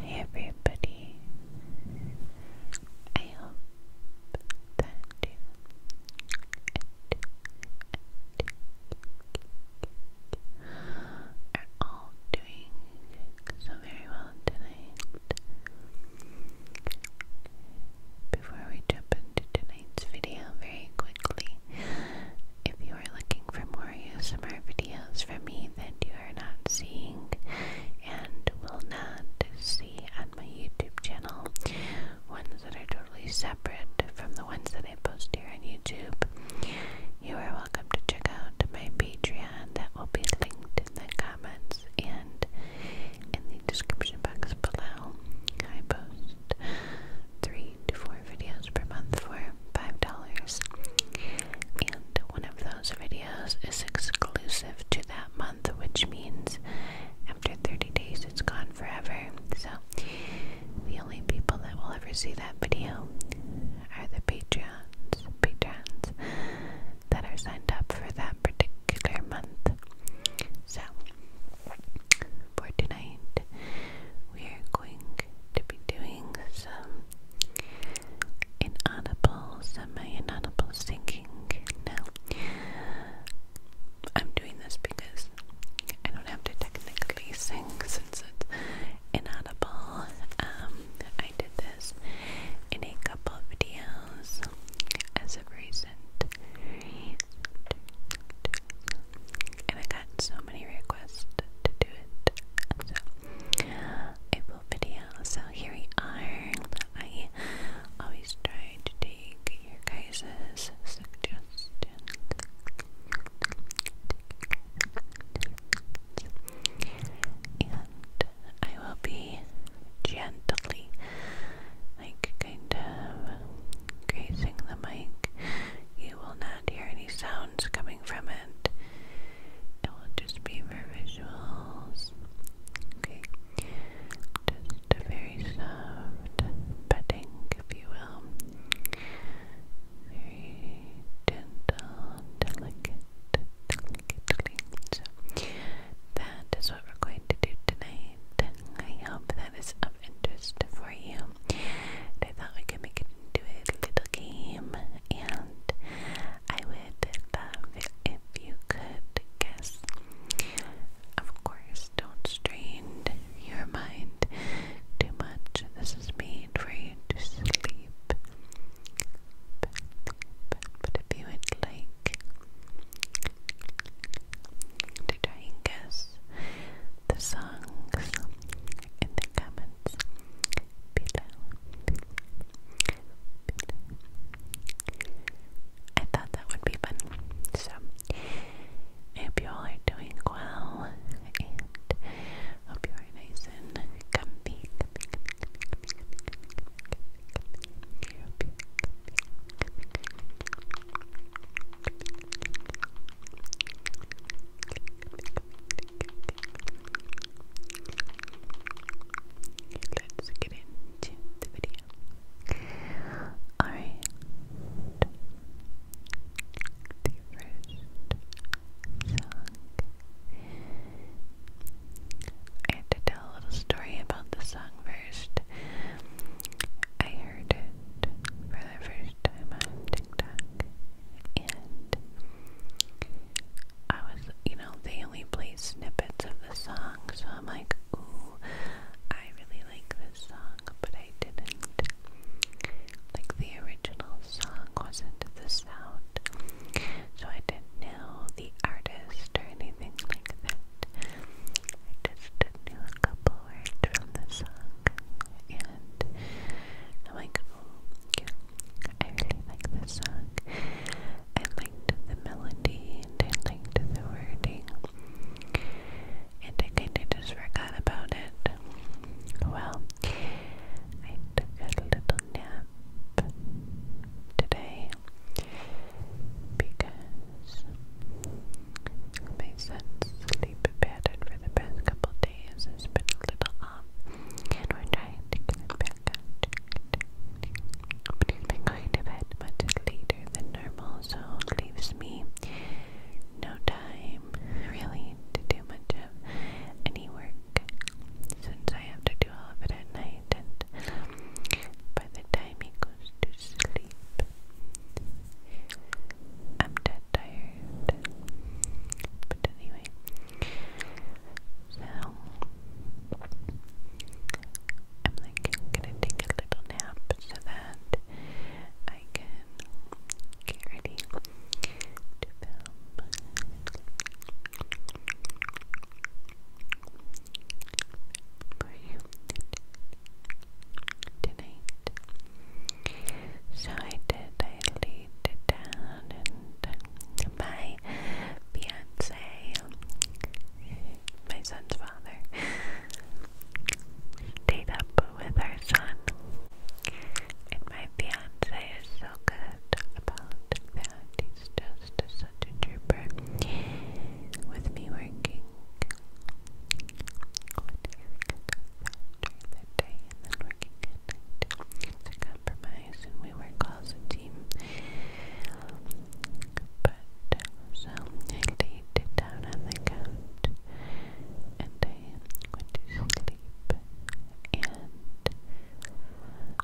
Hey everybody, I hope that you are all doing so very well tonight. Before we jump into tonight's video, very quickly, if you are looking for more ASMR videos from me that you are not seeing and will not see on my YouTube channel, ones that are totally separate from the ones that I post here on YouTube, you are welcome to check out my Patreon that will be linked in the comments and in the description box below. I post three four videos per month for five dollars. And one of those videos is exclusive to that month, which means after 30 days it's gone forever. So the only people that will ever see that video are the Patreons, patrons that are signed up for that particular month. So for tonight, we are going to be doing some inaudible, semi-inaudible singing. Now, I'm doing this because I don't have to technically sing since it's inaudible. Um, I did this in a couple of videos as of recent. recent and I got so many requests to do it, so a full video. So here we are. I always try to take your guys' suggestions. And I will be gently, like, kind of grazing the mic. You will not hear any sounds coming from it. It will just be for visuals. Okay. Just a very soft petting, if you will. Very gentle, delicate, delicately. So that is what we're going to do tonight. I hope that is of interest you. I thought we could make it into a little game, and I would love it if you could guess. Of course, don't strain your mind too much. This is made for you to sleep. But if you would like to try and guess the songs in the comments below. I thought that would be fun. So, hope you all are doing well and hope you are nice and comfy. Let's get into the video. Alright. The first song. I have to tell a little story about the song first. I heard it for the first time after TikTok, and I was, you know, they only play snippets of the song, so I'm like, ooh, I really like this song, but I didn't. Like, the original song wasn't the sound, so I didn't know the artist or anything like that. I just knew a couple forward from the sock, and I'm like, oh, I really like this sock. I liked the melody, and I liked the wording, and I kind of just forgot about it. Well, I took a little nap today because my son's sleep pattern for the past couple days has a little off, and we're to get back on. But he's been going to bed much later than normal, so leaves me no time really to do much of any work since I have to do all of it at night, and by the time he goes to sleep, I'm dead tired it. But anyway, so I'm like I'm gonna take a little nap so that I can get ready to film. For you tonight. So I did, I laid it down and my fiance, my son's father, stayed up with our son. And my fiance is so good about that. He's just such a trooper with me working. What day? and working at night. compromise, and we work all as a team. But so I laid down on the couch and I went to sleep. And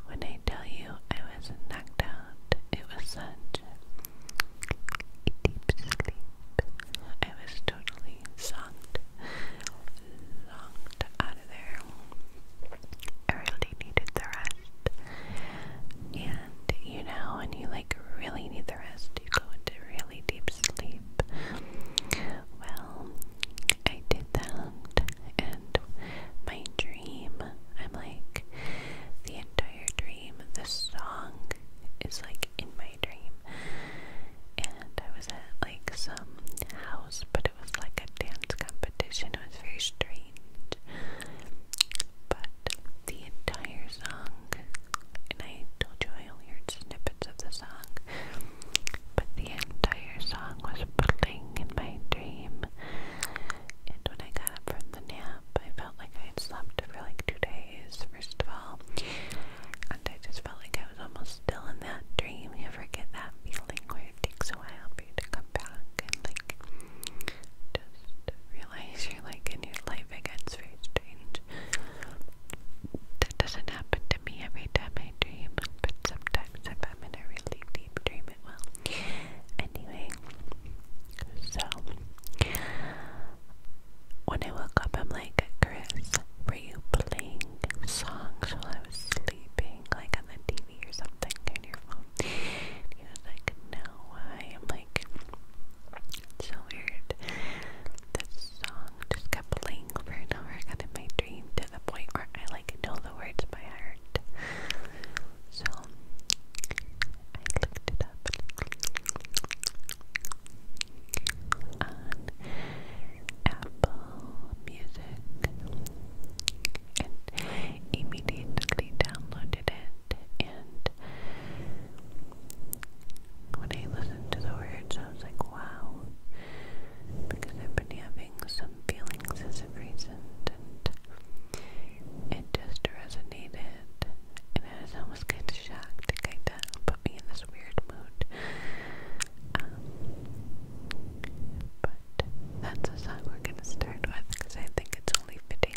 when I tell you I was knocked out, it was such deep sleep. I was totally completely sucked, out of there. I really needed the rest. And you know, when you like really need the rest, you go into really deep sleep. Well, I did that, and my dream, I'm like, the entire dream, the song is like like in my dream. And I was at like some house, but it was like a dance competition. It was very strange. But the entire song, and I told you I only heard snippets of the song, but the entire song was playing in my dream. And when I got up from the nap, I felt like I had slept for like two days, first of all. And I just felt like I I was almost still in that dream. You ever get that feeling where it takes a while for you to come back and like just realize you're like in your life again? It's very strange. That doesn't happen to me every time I dream, but sometimes if I'm in a really deep dream, it will. Anyway, so when I woke up, I'm like, Chris, were you playing songs while I was sleeping, like on the TV or something, on your phone. And he I'm like, so weird. This song just kept playing over and over in my dream to the point where I like know the words by heart. So I looked it up on Apple Music and immediately downloaded it. And when I listened to the words, I was like, wow, because I've been having some feelings as of recent, and it just resonated. And I was almost kind of shocked, kind put me in this weird mood. Um, but that's the song we're gonna start with because I think it's only fitting.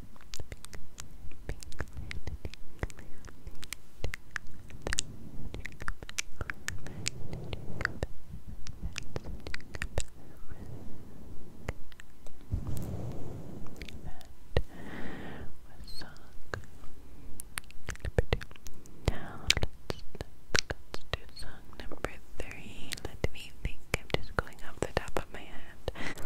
Now let let's do song number three. Let me think. I'm just going off the top of my head.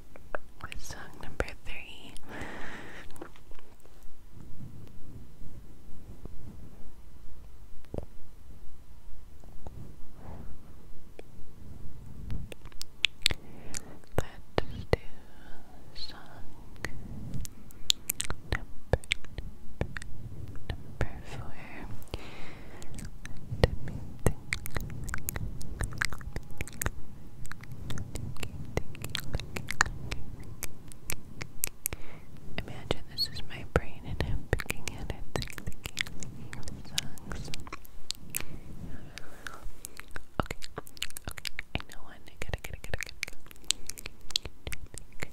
song number three. Let's do song number, number four. Imagine this is my brain and I'm picking at it, Okay, okay, I know one. I gotta, gotta, gotta, got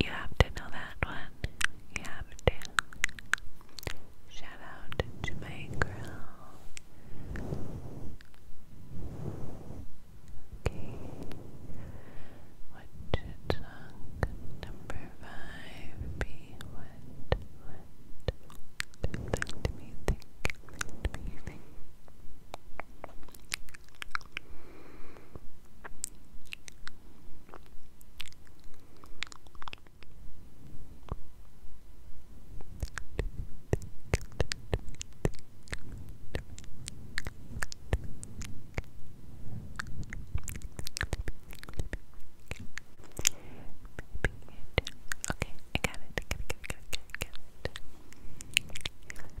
You have to know that one. You have to. Shout out to my girl. Okay. What should song number five be? me what, let me think, let me think Okay, I got it. I got it, got it, got it, got it. Perfect.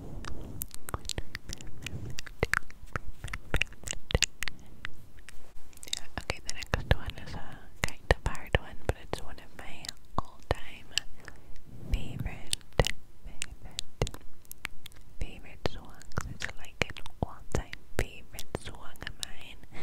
Yeah, okay, the next one is a kind of hard one, but it's one of my all time favorite, favorite, favorite songs. It's like an all time favorite song of mine.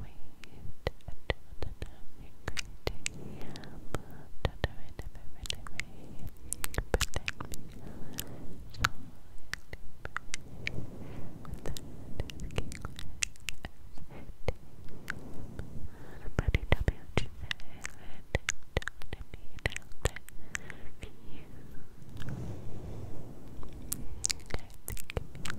wait until the time you're great. But don't I never really wait. Protect me. So with that king Somebody tell me what you said. Don't me out that for you. I think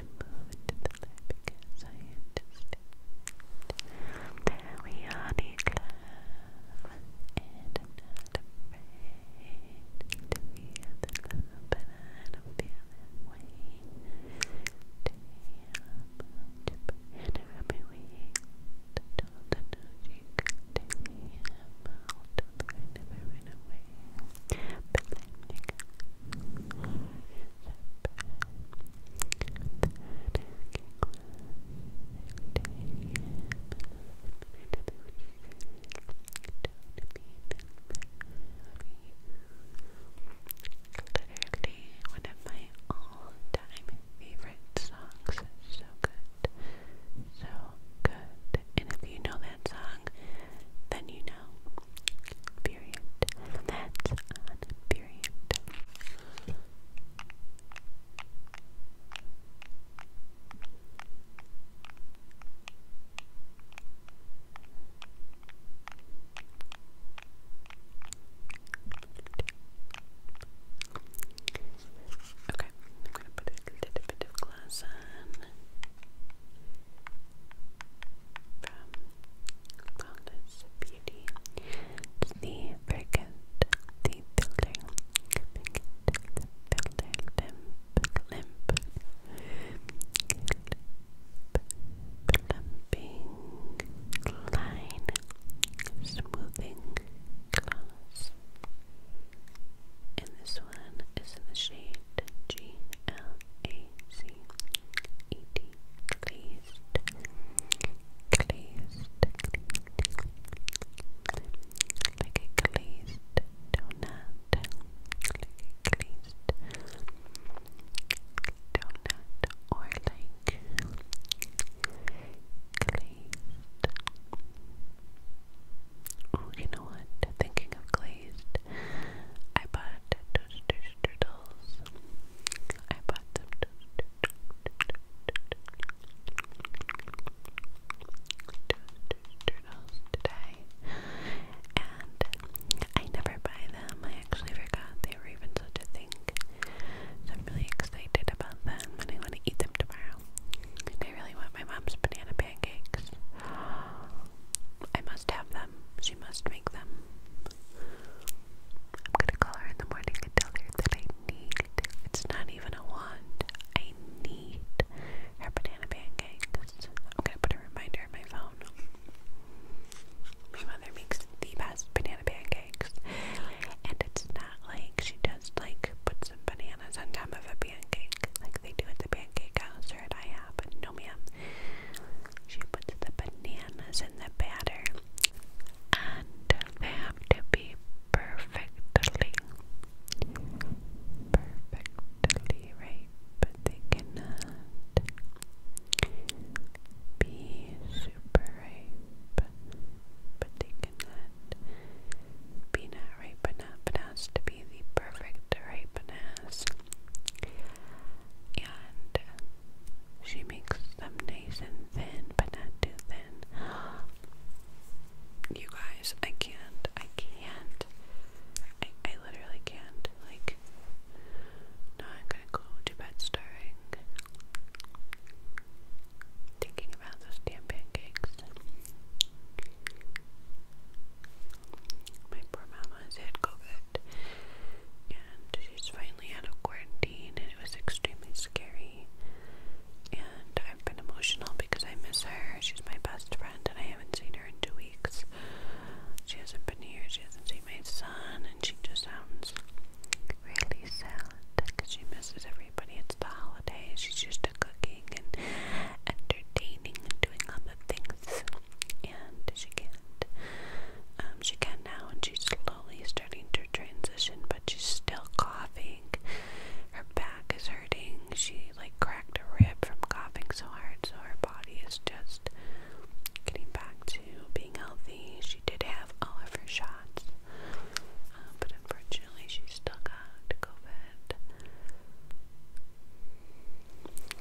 and move into the light because I am just there we are, Nicole, and I'm not afraid to feel the love, but I don't feel that way Day up, and every week, the total no she could take me out, but I never ran away but you one of my all time favorite songs. So good. So good. And if you know that song, then you know. Period. That's on Okay, I'm going to put a little bit of glass on from Flawless Beauty. the fragrant, the building, the building, limp, limp, plumping, line, smoothing gloss. And this one is in the shade GLA C E T glazed glazed like a glazed donut like a glazed donut or like glazed Oh, you know what? Thinking of glazed I bought toaster turtles. I bought some today, and I never buy them. I actually forgot they were even such a thing. So I'm really excited about them, I want to eat them tomorrow. I really want my mom's banana pancakes. I must have them. She must make them. I'm gonna call her in the morning and tell her that I need. It's not even a want. I need her banana pancakes. I'm gonna put a reminder on my phone. My mother makes the best banana pancakes. And it's not like she just like put bananas on top of a pancake they do at the pancake house or at IHOP. No, ma'am. She puts the bananas in the batter, and they have to be perfectly, perfectly right, but they cannot be super ripe, but they cannot be not ripe enough. It has to be the perfect ripeness. And she makes them nice and thin, but not too thin. You guys, I can't. I can't. I, I literally can't. Like, no, I'm gonna go to bed stirring. Thinking about those damn pancakes. My poor mama has had COVID and she's finally out of quarantine and it was extremely scary. And I've been emotional because I miss her. She's my best friend and I haven't seen her in two weeks. She hasn't been here, she hasn't seen my son, and she just sounds really sad because she misses everybody. It's the holidays, she's used to cooking and entertaining and doing all the things and she can't. Um, she can now, and she's slowly starting to transition, but she's still coughing. Her back is hurting. She like cracked a rib from coughing so hard, so her body is just getting back to being healthy. She did have all of her shots, uh, but unfortunately, she still got COVID.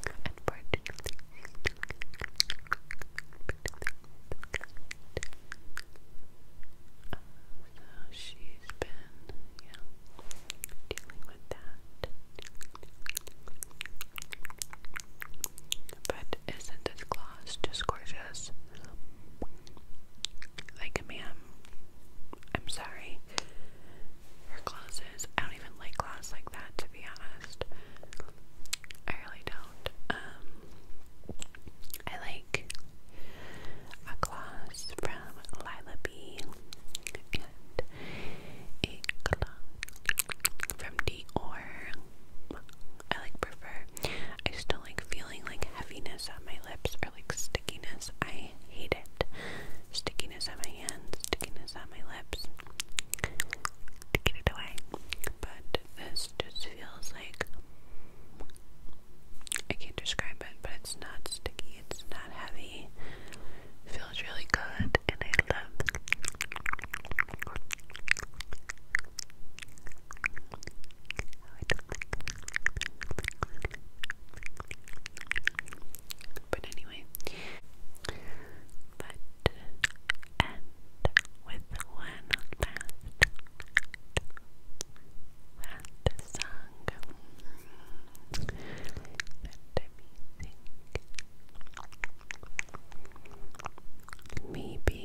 Unfortunately, so she's been, yeah, dealing with that. But isn't this gloss just gorgeous? Like, ma'am, I'm sorry her classes. I don't even like class like that to be honest. I really don't. Um I like a class from Lila and a class from Dior. I like prefer. I just don't like feeling like heaviness on my lips or like stickiness. I hate it. Stickiness on my hands, stickiness on my lips to get it away. But this just feels like I can't describe it, but it's not sticky, it's not heavy. feels really good, and I love but anyway, but end with one last, last song that Maybe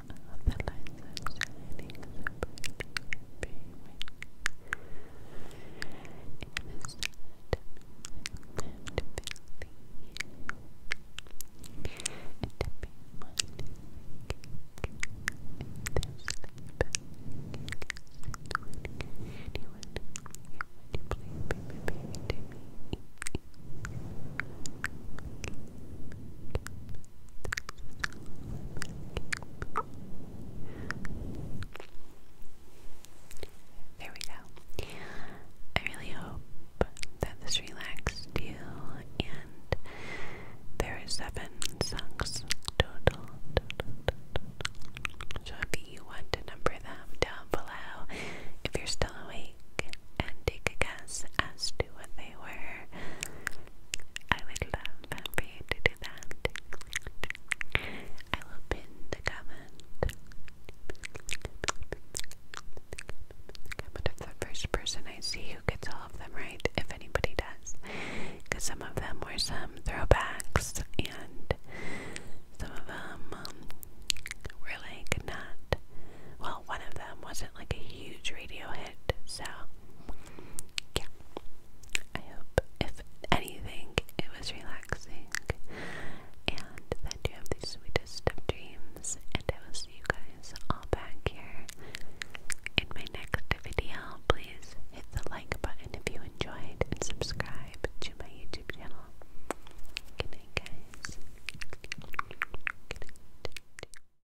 none the lights are shining so It is time to feel the healing and to be mindful and to sleep anyone, would you there we go. I really hope that this relaxed you and there are seven sucks total. total, you want to number them down below, if you're still awake and take a guess as to what they were. I would love for you to do that. I will pin the comment. Comment of the first person I see who gets all of them right, if anybody does. Because some of them were some throwbacks, and some of them um, were like not. Well, one of them wasn't like a huge radio hit, so yeah, I hope if anything it was relaxing and that you have the sweetest of dreams and I will see you guys all back here in my next video. Please hit the like button if you enjoyed and subscribe to my YouTube channel. Good night guys.